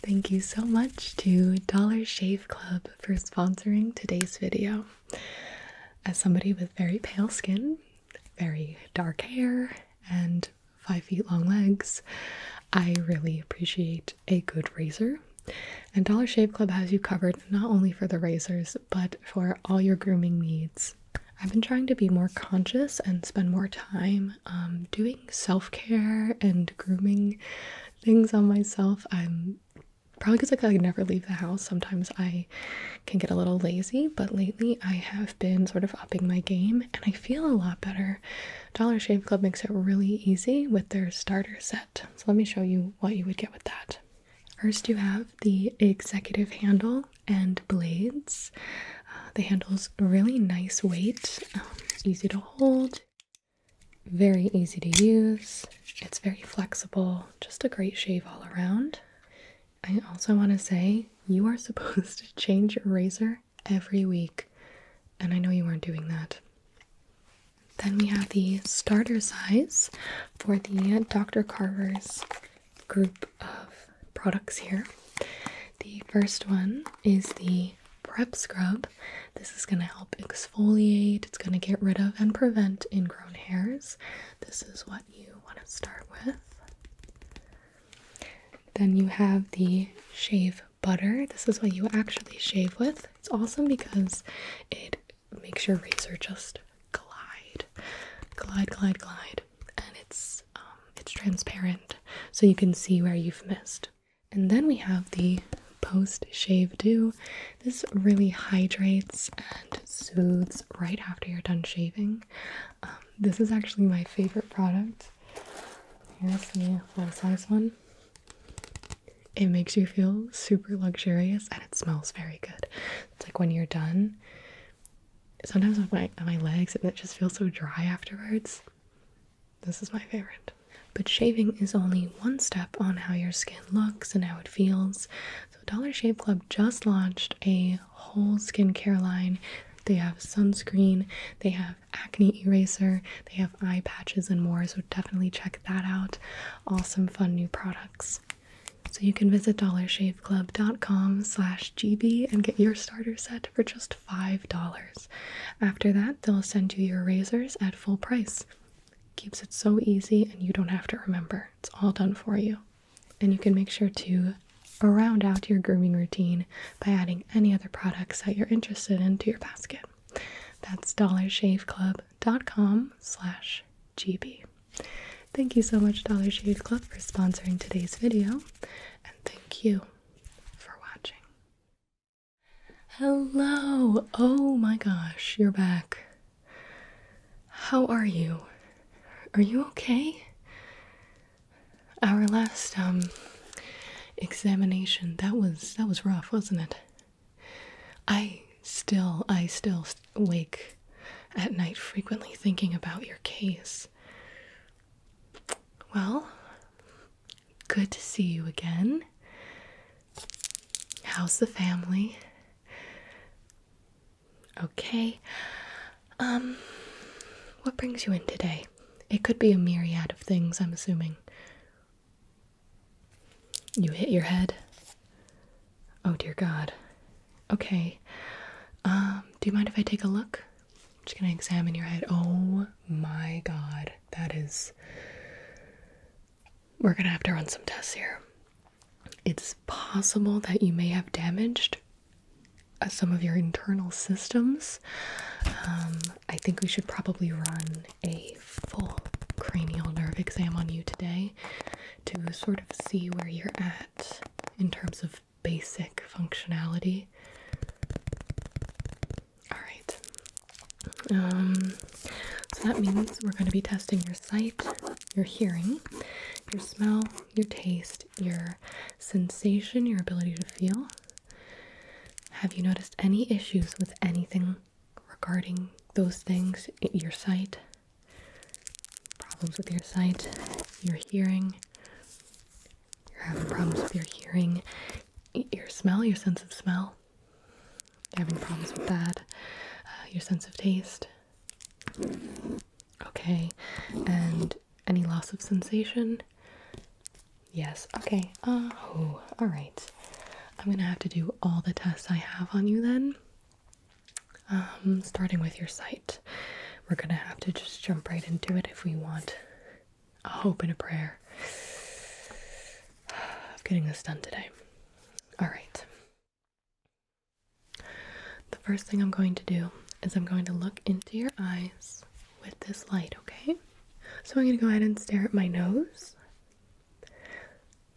Thank you so much to Dollar Shave Club for sponsoring today's video. As somebody with very pale skin, very dark hair, and five feet long legs, I really appreciate a good razor. And Dollar Shave Club has you covered not only for the razors, but for all your grooming needs. I've been trying to be more conscious and spend more time um, doing self care and grooming things on myself. I'm probably because I could never leave the house. Sometimes I can get a little lazy, but lately I have been sort of upping my game and I feel a lot better. Dollar Shave Club makes it really easy with their starter set. So let me show you what you would get with that. First, you have the executive handle and blades. Uh, the handle's really nice weight, um, easy to hold, very easy to use. It's very flexible, just a great shave all around. I also want to say you are supposed to change your razor every week, and I know you aren't doing that. Then we have the starter size for the Dr. Carver's group of products here. The first one is the Prep Scrub. This is going to help exfoliate, it's going to get rid of and prevent ingrown hairs. This is what you want to start with. Then you have the Shave Butter. This is what you actually shave with. It's awesome because it makes your razor just glide, glide, glide, glide and it's um, it's transparent, so you can see where you've missed. And then we have the post shave do. This really hydrates and soothes right after you're done shaving. Um, this is actually my favorite product. Here's the full size one. It makes you feel super luxurious and it smells very good. It's like when you're done. Sometimes my on my legs, and it just feels so dry afterwards. This is my favorite. But shaving is only one step on how your skin looks and how it feels. So, Dollar Shave Club just launched a whole skincare line. They have sunscreen, they have acne eraser, they have eye patches, and more. So, definitely check that out. Awesome, fun new products. So, you can visit dollarshaveclub.com slash GB and get your starter set for just $5. After that, they'll send you your razors at full price. Keeps it so easy and you don't have to remember. It's all done for you. And you can make sure to round out your grooming routine by adding any other products that you're interested in to your basket. That's dollarshaveclub.com slash gb. Thank you so much Dollar Shave Club for sponsoring today's video and thank you for watching. Hello! Oh my gosh, you're back. How are you? Are you okay? Our last um examination that was that was rough, wasn't it? I still I still wake at night frequently thinking about your case. Well, good to see you again. How's the family? Okay. Um, what brings you in today? It could be a myriad of things, I'm assuming. You hit your head? Oh dear God. Okay. Um, do you mind if I take a look? I'm just gonna examine your head. Oh my god, that is. We're gonna have to run some tests here. It's possible that you may have damaged uh, some of your internal systems. Um, I think we should probably run a full cranial nerve exam on you today to sort of see where you're at in terms of basic functionality. All right. Um, so that means we're going to be testing your sight, your hearing, your smell, your taste, your sensation, your ability to feel. Have you noticed any issues with anything regarding those things? Your sight? Problems with your sight? Your hearing? you're having problems with your hearing, your smell, your sense of smell, having problems with that, uh, your sense of taste. Okay, and any loss of sensation? Yes, okay. Uh, oh, all right. I'm gonna have to do all the tests I have on you then. Um, starting with your sight. We're gonna have to just jump right into it if we want a hope and a prayer of getting this done today. All right. The first thing I'm going to do is I'm going to look into your eyes with this light, okay? So I'm going to go ahead and stare at my nose.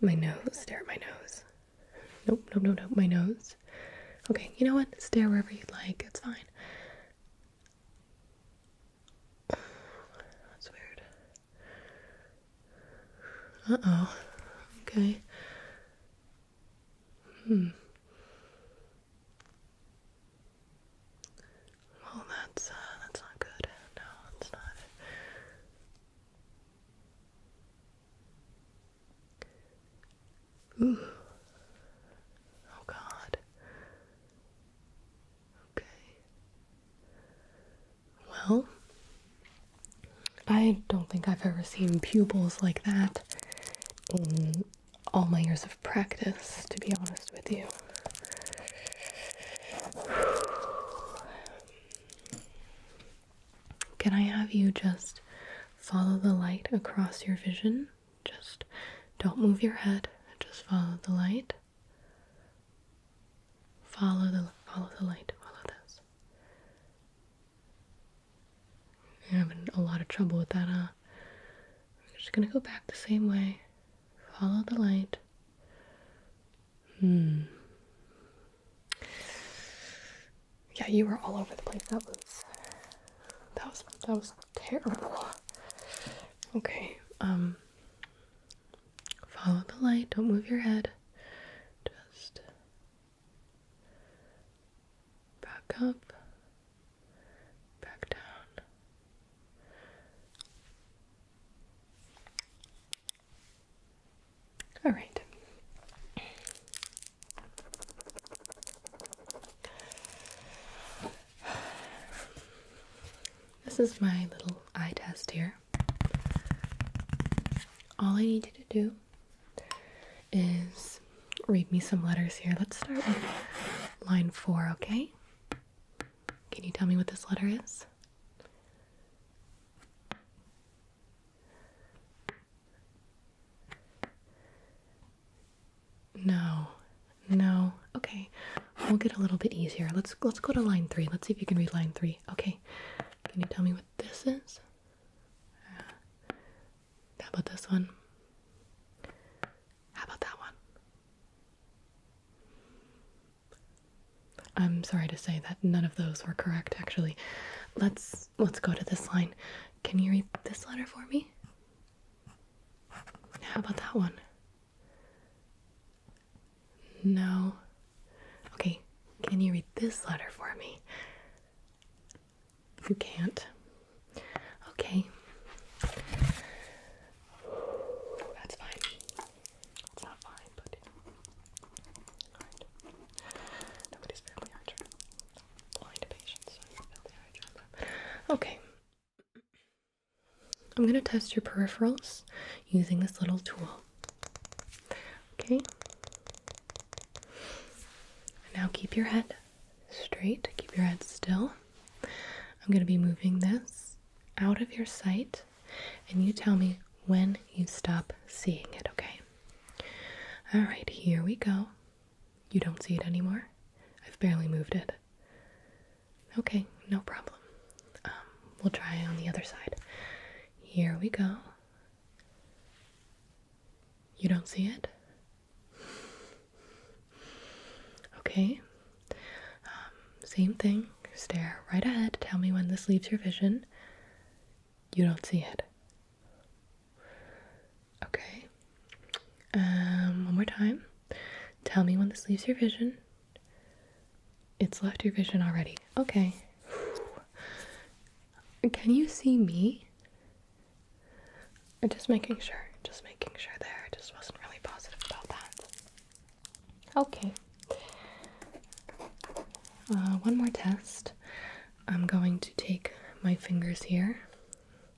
My nose, stare at my nose. Nope, nope, nope, nope, my nose. Okay, you know what? Stare wherever you'd like. It's fine. That's weird. Uh oh. Okay. Hmm. Well, that's uh, that's not good. No, it's not. Ooh. Oh God. Okay. Well, I don't think I've ever seen pupils like that in all my years of practice, to be honest with you. Can I have you just Follow the light across your vision. Just don't move your head. Just follow the light. Follow the follow the light. Follow this. having a lot of trouble with that, huh? We're just gonna go back the same way. Follow the light. Hmm. Yeah, you were all over the place. That was that was that was terrible. Okay, um, follow the light, don't move your head. Just back up, back down. All right. This is my little eye test here. All I need you to do is read me some letters here. Let's start line four, okay? Can you tell me what this letter is? No. No. Okay. We'll get a little bit easier. Let's let's go to line 3. Let's see if you can read line 3. Okay. Can you tell me what this is? Uh, how about this one? How about that one? I'm sorry to say that none of those were correct actually. Let's let's go to this line. Can you read this letter for me? How about that one? No. Okay, can you read this letter for me? You can't. Okay. That's fine. It's not fine, but. Nobody's family, Okay. I'm going to test your peripherals using this little tool. Okay. Now keep your head straight, keep your head still. I'm going to be moving this out of your sight, and you tell me when you stop seeing it, okay? All right, here we go. You don't see it anymore? I've barely moved it. Okay, no problem. Um, we'll try on the other side. Here we go. You don't see it? Okay. Um, same thing. Stare right ahead. Tell me when this leaves your vision. You don't see it. Okay. Um, one more time. Tell me when this leaves your vision. It's left your vision already. Okay. Can you see me? Just making sure. Just making sure there. I just wasn't really positive about that. Okay. Uh, one more test. I'm going to take my fingers here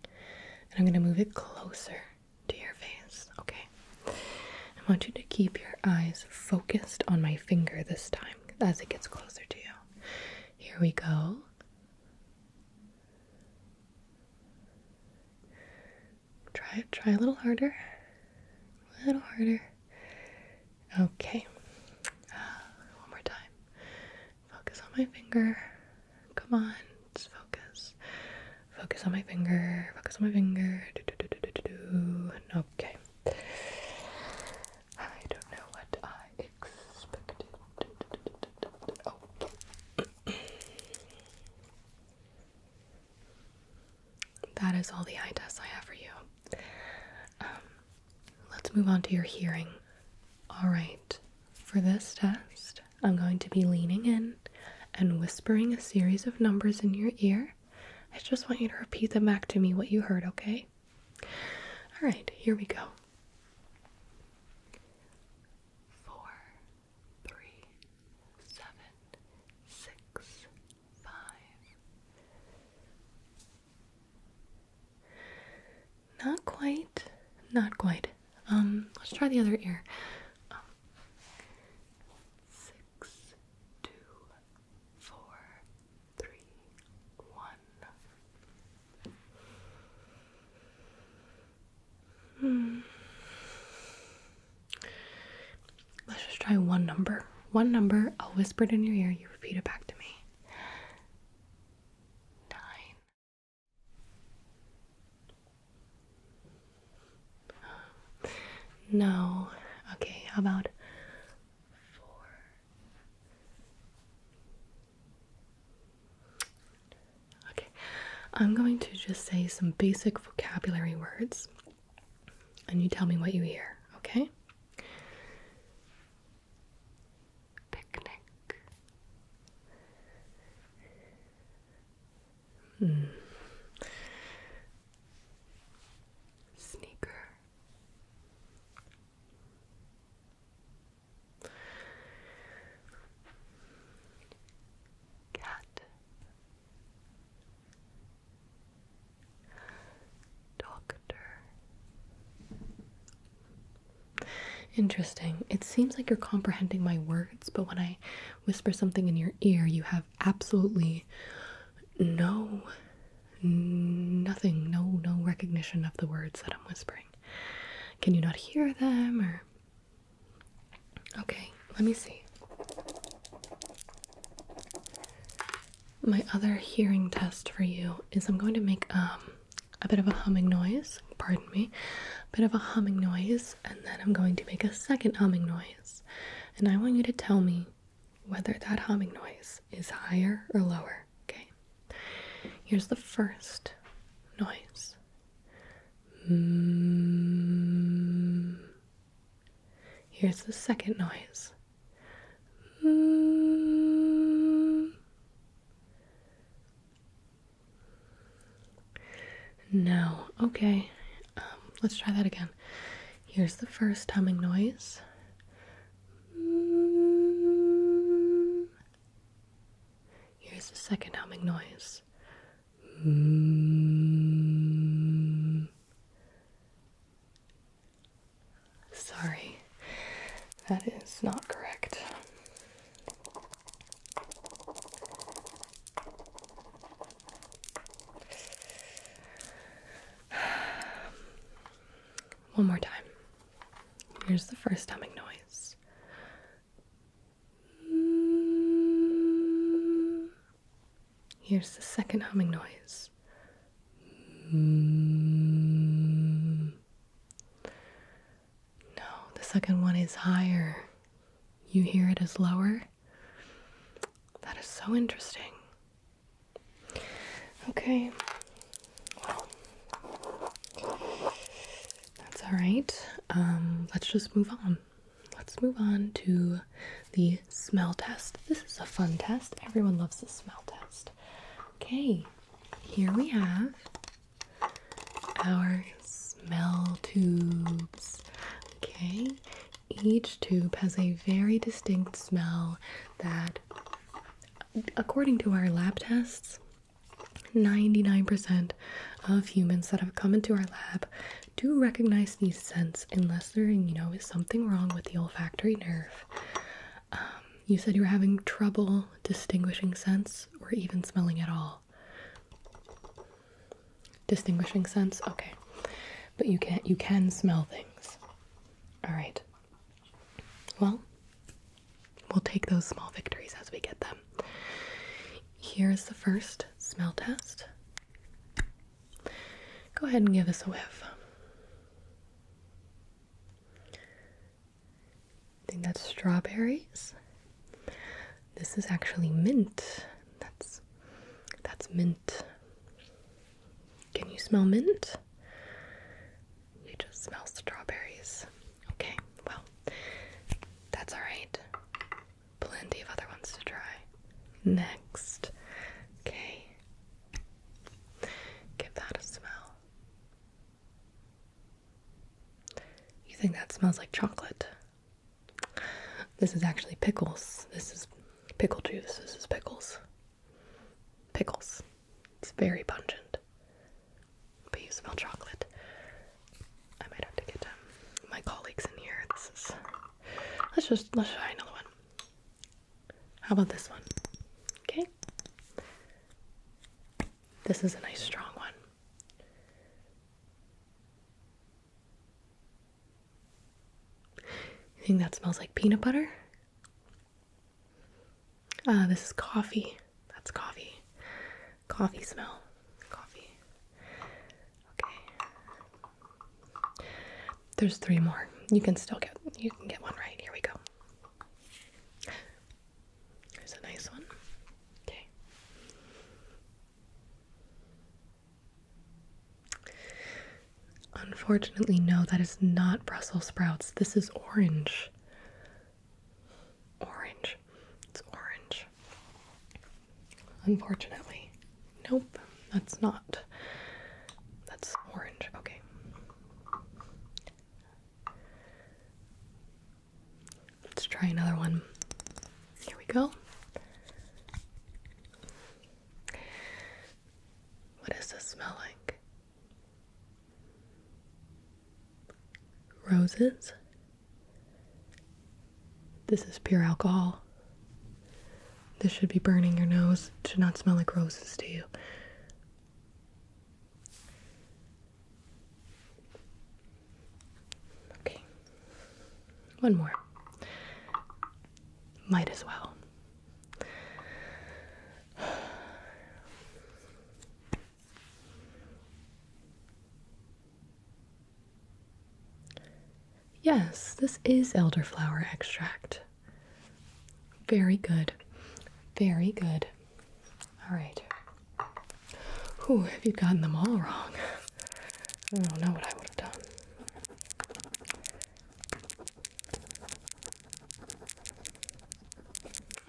and I'm going to move it closer to your face, okay? I want you to keep your eyes focused on my finger this time as it gets closer to you. Here we go. Try it, try a little harder. A little harder. Okay. Ah, one more time. Focus on my finger. Come on, just focus. Focus on my finger. Focus on my finger. Do, do, do, do, do, do. Okay. I don't know what I expected. Oh. that is all the eye tests I have for you. Um, Let's move on to your hearing. All right, for this test, I'm going to be leaning in and whispering a series of numbers in your ear. I just want you to repeat them back to me what you heard, okay? All right, here we go. Four, three, seven, six, five. Not quite. Not quite. Um, let's try the other ear. Um, six, two, four, three, one. Hmm. Let's just try one number. One number, I'll whisper it in your ear, you repeat it back to me nine. No. Okay, how about four? Okay, I'm going to just say some basic vocabulary words and you tell me what you hear, okay? Picnic. Hmm. Sneaker. Cat. Doctor. Interesting. It seems like you're comprehending my words, but when I whisper something in your ear, you have absolutely no, nothing, no, no recognition of the words that I'm whispering. Can you not hear them or? Okay, let me see my other hearing test for you is I'm going to make um, a bit of a humming noise, pardon me, a bit of a humming noise, and then I'm going to make a second humming noise. And I want you to tell me whether that humming noise is higher or lower, okay? Here's the first noise. Mm. Here's the second noise. Hmm. No. Okay. Um, let's try that again. Here's the first humming noise. Here's the second humming noise. Hmm. Sorry, that is not correct. One more time. Here's the first humming noise. Here's the second humming noise. No, the second one is higher. You hear it as lower? That is so interesting. Okay, that's all right. Um, let's just move on. Let's move on to the smell test. This is a fun test. Everyone loves the smell test. Okay, here we have our smell tubes. Okay, each tube has a very distinct smell that, according to our lab tests, 99% of humans that have come into our lab do recognize these scents unless you know, is something wrong with the olfactory nerve? Um, you said you were having trouble distinguishing scents or even smelling at all. Distinguishing sense, okay, but you can't. You can smell things. All right. Well, we'll take those small victories as we get them. Here's the first smell test. Go ahead and give us a whiff. I think that's strawberries. This is actually mint. That's that's mint. Can you smell mint? You just smell strawberries. Okay, well, that's all right. Plenty of other ones to try. Next. Okay, Give that a smell. You think that smells like chocolate? This is actually pickles. This is pickle juice. This is pickles. Pickles. It's very pungent. But you smell chocolate. I might have to get um, my colleagues in here. This is. Let's just let's try another one. How about this one? Okay. This is a nice strong one. You think that smells like peanut butter? Uh, this is coffee. That's coffee. Coffee smell. Coffee. Okay. There's three more. You can still get you can get one right. Here we go. Here's a nice one. Okay. Unfortunately, no, that is not Brussels sprouts. This is orange. Orange. It's orange. Unfortunately. Nope, that's not. That's orange. Okay. Let's try another one. Here we go. What does this smell like? Roses? This is pure alcohol. This should be burning your nose. should not smell like roses to you. Okay. One more. Might as well. Yes, this is elderflower extract. Very good. Very good. All right. Whew, have you gotten them all wrong? I don't know what I would have done.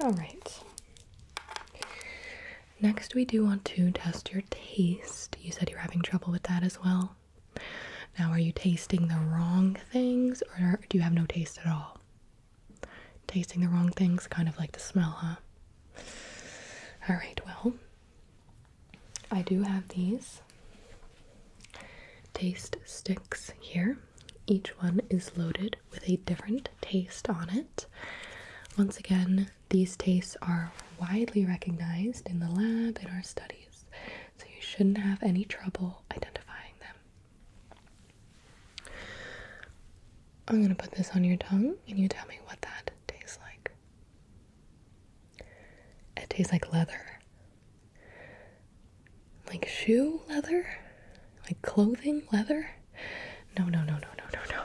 All right. Next, we do want to test your taste. You said you're having trouble with that as well. Now, are you tasting the wrong things or do you have no taste at all? Tasting the wrong things, kind of like the smell, huh? All right, well, I do have these taste sticks here. Each one is loaded with a different taste on it. Once again, these tastes are widely recognized in the lab in our studies these, so you shouldn't have any trouble identifying them. I'm gonna put this on your tongue, and you tell me what that tastes like. It tastes like leather, like shoe leather, like clothing leather. No, no, no, no, no, no, no.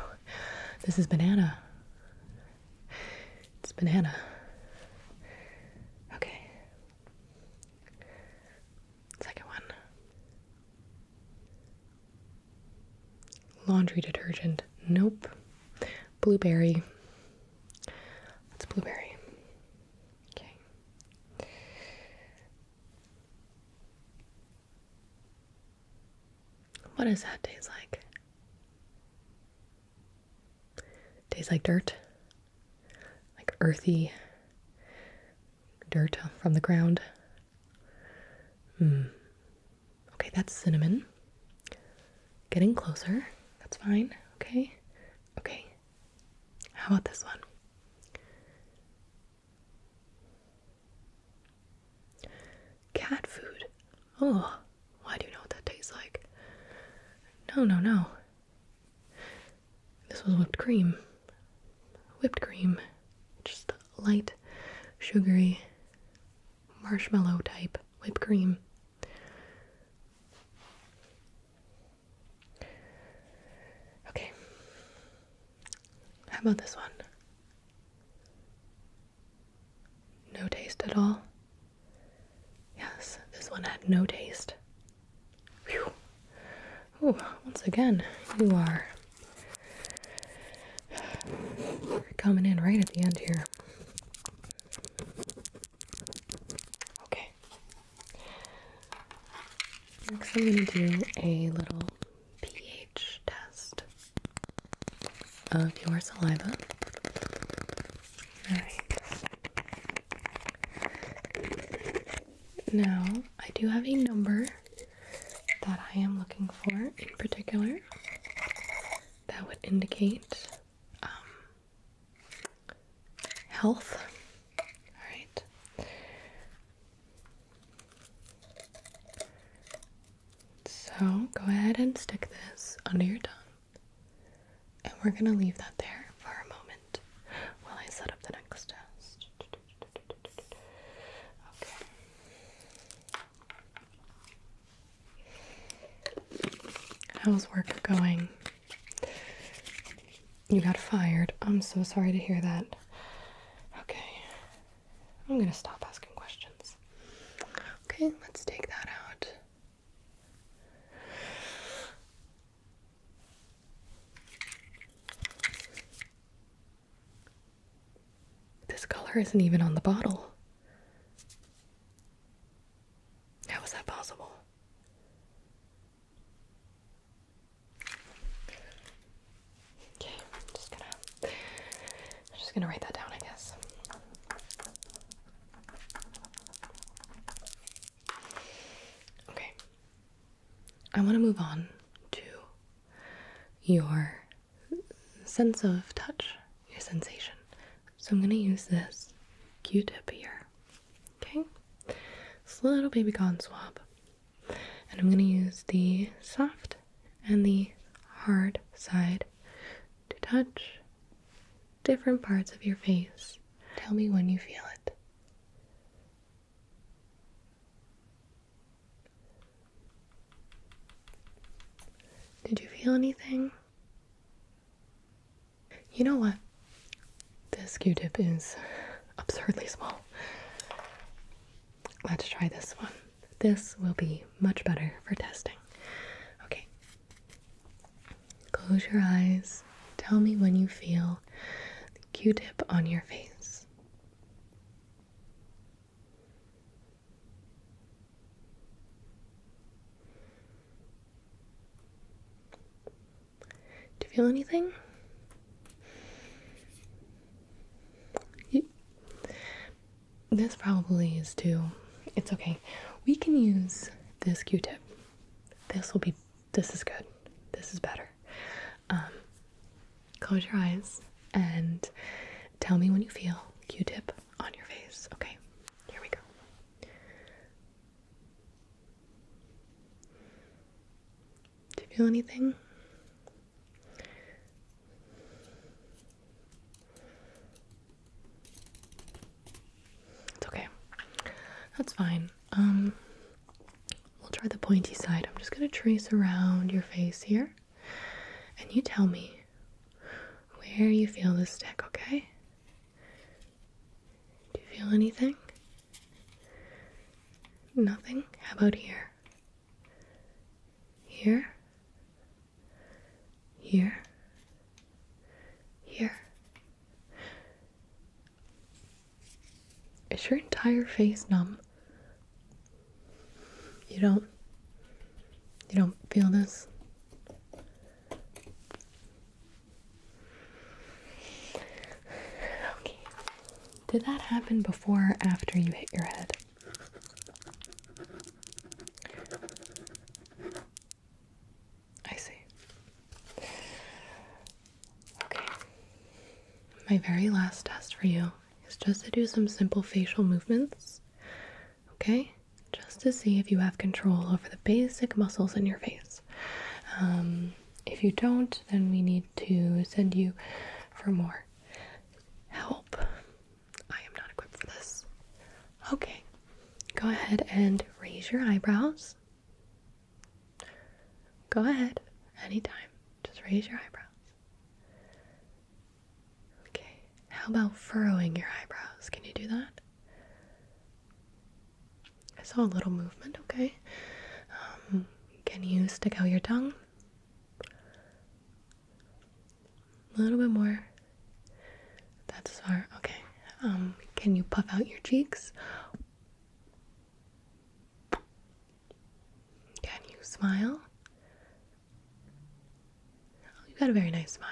This is banana. It's banana. Okay. Second one. Laundry detergent. Nope. Blueberry. That's blueberry. Okay. What does that taste like? Tastes like dirt, like earthy dirt from the ground. Hmm. Okay, that's cinnamon. Getting closer. That's fine. Okay. Okay. How about this one? Cat food. Oh. Why do you know what that tastes like? No, no, no. This was whipped cream. Whipped cream. Just light, sugary, marshmallow type whipped cream. Okay. How about this one? No taste at all? Yes, this one had no taste. Whew. Ooh, once again, you are You're coming in right at the end here. Okay. Next, I'm going to do a little pH test of your saliva. Alright. Now, I do have a number that I am looking for in particular that would indicate um, health. Alright. So go ahead and stick this under your tongue. And we're going to leave that there for a moment while I set up the next test. Okay. How's work going? You got fired. I'm so sorry to hear that. Okay. I'm going to stop asking questions. Okay, let's take that out. This color isn't even on the bottle. How was that possible? Okay, I'm just gonna I'm just gonna write that down, I guess. Okay. I want to move on to your sense of touch, your sensation. So I'm going to use this Q tip here. Okay? This little baby gone swab. And I'm going to use the soft and the hard side to touch different parts of your face. Tell me when you feel it. Did you feel anything? You know what? This q tip is absurdly small. Let's try this one. This will be much better for testing. Okay. Close your eyes. Tell me when you feel the q tip on your face. Do you feel anything? This probably is too. It's okay. We can use this Q-tip. This will be. This is good. This is better. Um, close your eyes and tell me when you feel Q-tip on your face. Okay. Here we go. Do you feel anything? It's okay. That's fine. Um, we'll try the pointy side. I'm just gonna trace around your face here. And you tell me where you feel the stick, okay? Do you feel anything? Nothing? How about here? Here? here, here. Is your entire face numb? You don't you don't feel this? Okay. Did that happen before or after you hit your head? I see. Okay. My very last test for you is just to do some simple facial movements. Okay? Just to see if you have control over the basic muscles in your face. Um, if you don't, then we need to send you for more help. I am not equipped for this. Okay, go ahead and raise your eyebrows. Go ahead, anytime. Just raise your eyebrows. Okay, how about furrowing your eyebrows? Can you do that? I saw a little movement, okay. Um, can you stick out your tongue? A little bit more. That's far. Okay. Um, can you puff out your cheeks? Can you smile? Oh, You've got a very nice smile.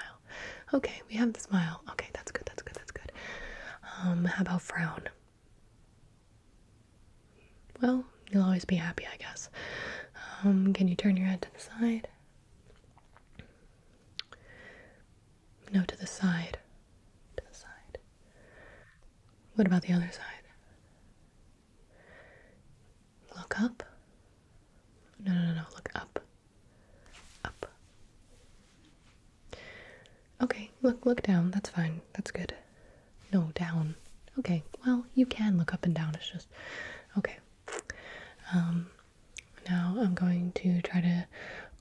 Okay, we have the smile. Okay, that's good. That's good. That's good. Um, how about frown? well, you'll always be happy, I guess. Um, can you turn your head to the side? No, to the side. To the side. What about the other side? Look up. No, no, no, no. Look up. Up. Okay, look look down. That's fine. That's good. No, down. Okay. Well, you can look up and down. It's just Okay. Um, now I'm going to try to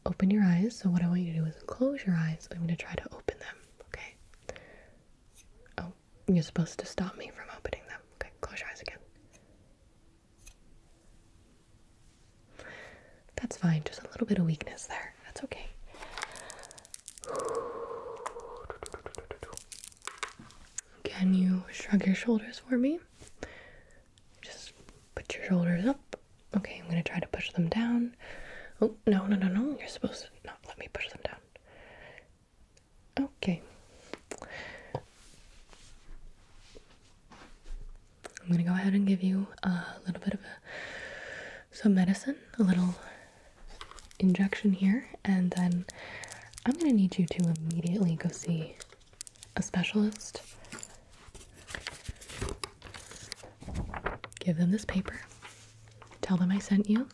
open your eyes. So, what I want you to do is close your eyes. I'm going to try to open them. Okay. Oh, you're supposed to stop me from opening them. Okay, close your eyes again. That's fine. Just a little bit of weakness there. That's okay. Can you shrug your shoulders for me? Just put your shoulders up. Okay, I'm gonna try to push them down. Oh, no, no, no, no. You're supposed to not let me push them down. Okay. I'm gonna go ahead and give you a little bit of a, some medicine, a little injection here, and then I'm gonna need you to immediately go see a specialist. Give them this paper. Tell them I sent you.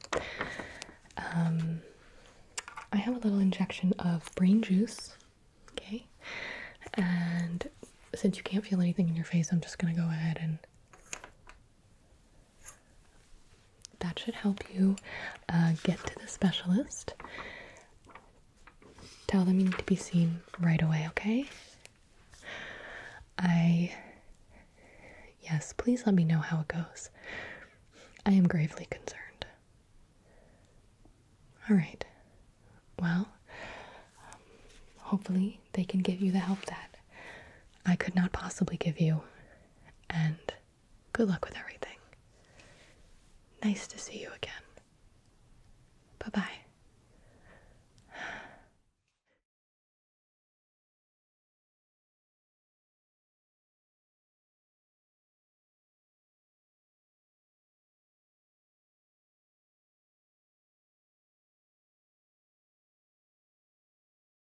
Um, I have a little injection of brain juice. Okay, and since you can't feel anything in your face, I'm just gonna go ahead and that should help you uh, get to the specialist. Tell them you need to be seen right away, okay? I. Yes, please let me know how it goes. I am gravely concerned. All right. Well, hopefully they can give you the help that I could not possibly give you. And Good luck with everything. Nice to see you again. Bye bye.